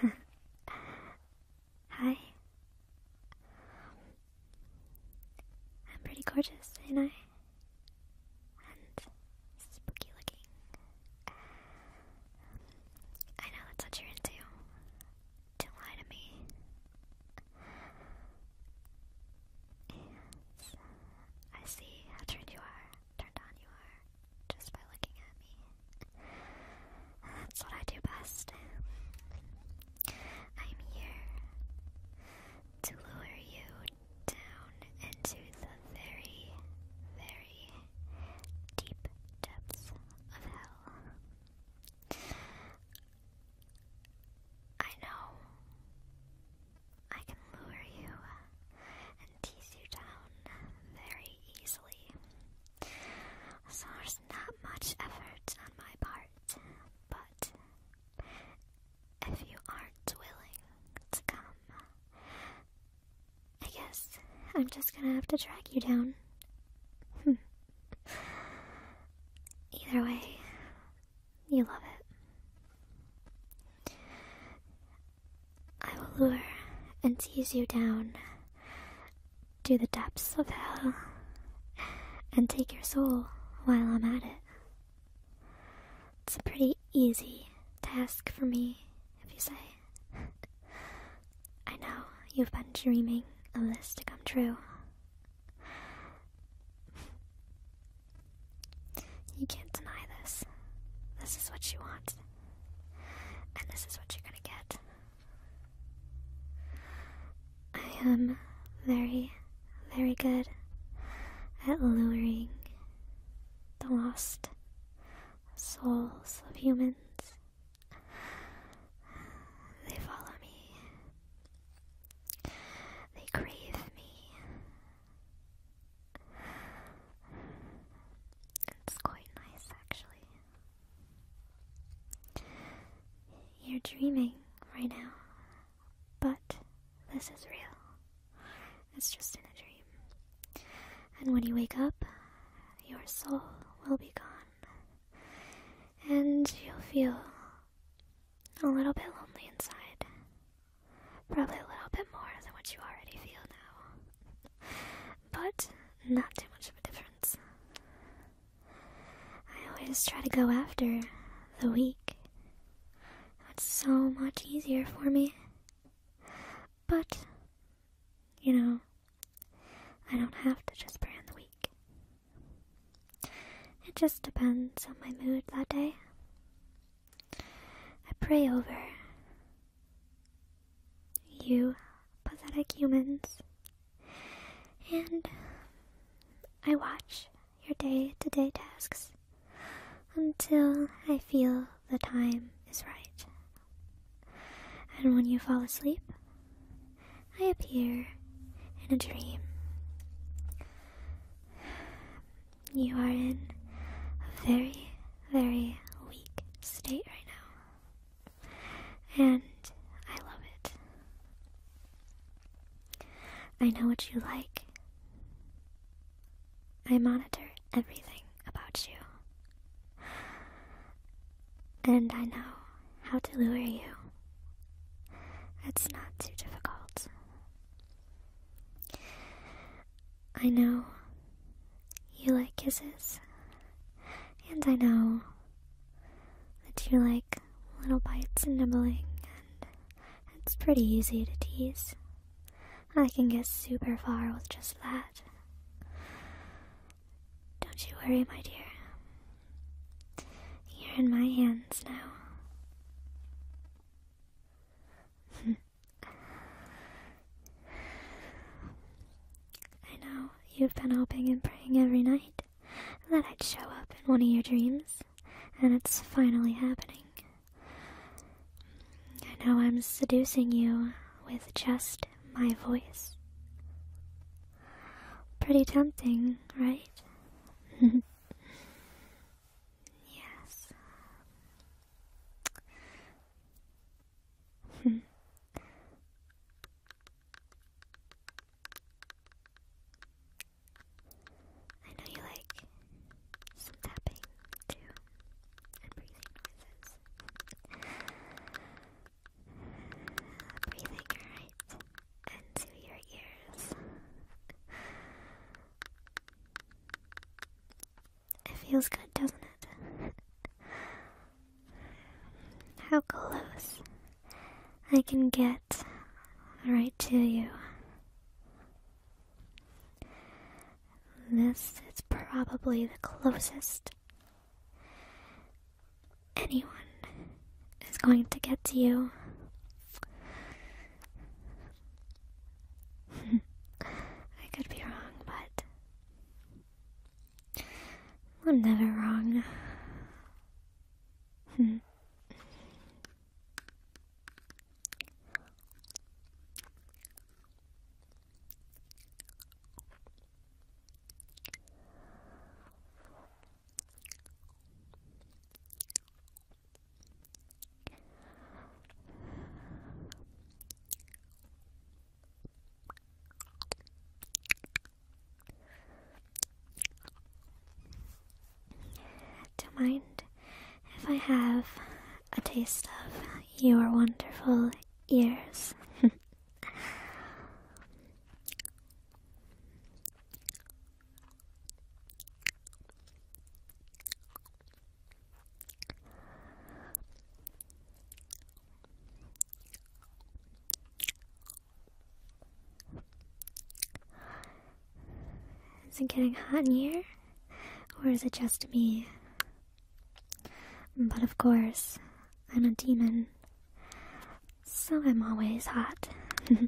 Hi. I'm pretty gorgeous, ain't I? And spooky looking. I know that's what you're into. Don't lie to me. Yes. I see how turned you are, turned on you are just by looking at me. That's what I do best. I'm here to lure you down into the very, very deep depths of hell. I know I can lure you tease you down very easily. So there's not much effort on my part, but if you aren't willing to come, I guess I'm just gonna have to drag you down. Either way, you love it. I will lure and tease you down to the depths of hell and take your soul while I'm at it. It's a pretty easy task for me, if you say. I know you've been dreaming of this to come true. You can't deny this. This is what you want. And this is what you're gonna get. I am very, very good at luring the lost souls of humans. They follow me, they crave me, it's quite nice, actually. You're dreaming right now, but this is real. It's just in a dream. And when you wake up, your soul will be gone. And you'll feel a little bit lonely inside. Probably a little bit more than what you already feel now. But not too much of a difference. I always try to go after the week. It's so much easier for me. But, you know, I don't have to just pray brand the week. It just depends on my mood that day. I pray over you pathetic humans. And I watch your day to day tasks until I feel the time is right. And when you fall asleep, I appear in a dream. You are in a very, very weak state right now. And I love it. I know what you like. I monitor everything about you. And I know how to lure you. It's not too difficult. I know you like kisses, and I know that you like little bites and nibbling, and it's pretty easy to tease. I can get super far with just that. Don't you worry, my dear. You're in my hands now. I know you've been hoping and praying every night that I'd show up in one of your dreams, and it's finally happening. I know I'm seducing you with just my voice. Pretty tempting, right? Yes. I know you like some tapping too and breathing breathing right into your ears. It feels good, doesn't it? How close I can get right to you. This is probably the closest anyone is going to get to you. I could be wrong, but I'm never wrong. Don't mind if I have a taste of your wonderful ears. Is it getting hot in here? Or is it just me? But of course, I'm a demon. So I'm always hot.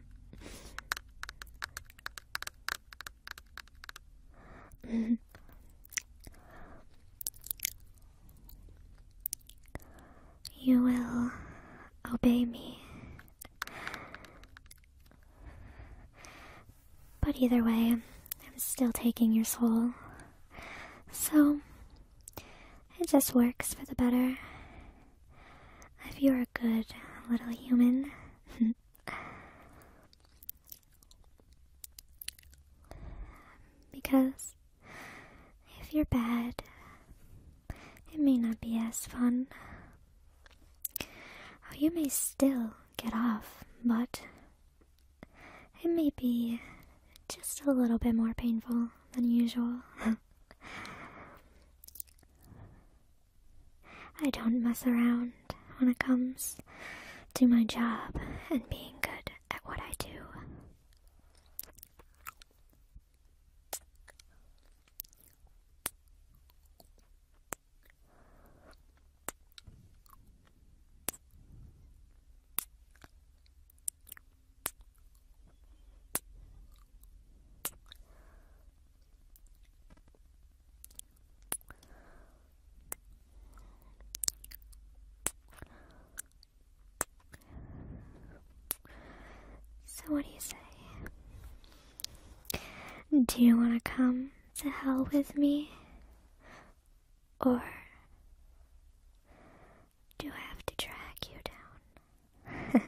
You will obey me. But either way, I'm still taking your soul. So, it just works for the better. If you're a good little human. because if you're bad, it may not be as fun. you may still get off, but it may be just a little bit more painful than usual. I don't mess around when it comes to my job and being good at what I do. So, what do you say? Do you want to come to hell with me? Or do I have to drag you down?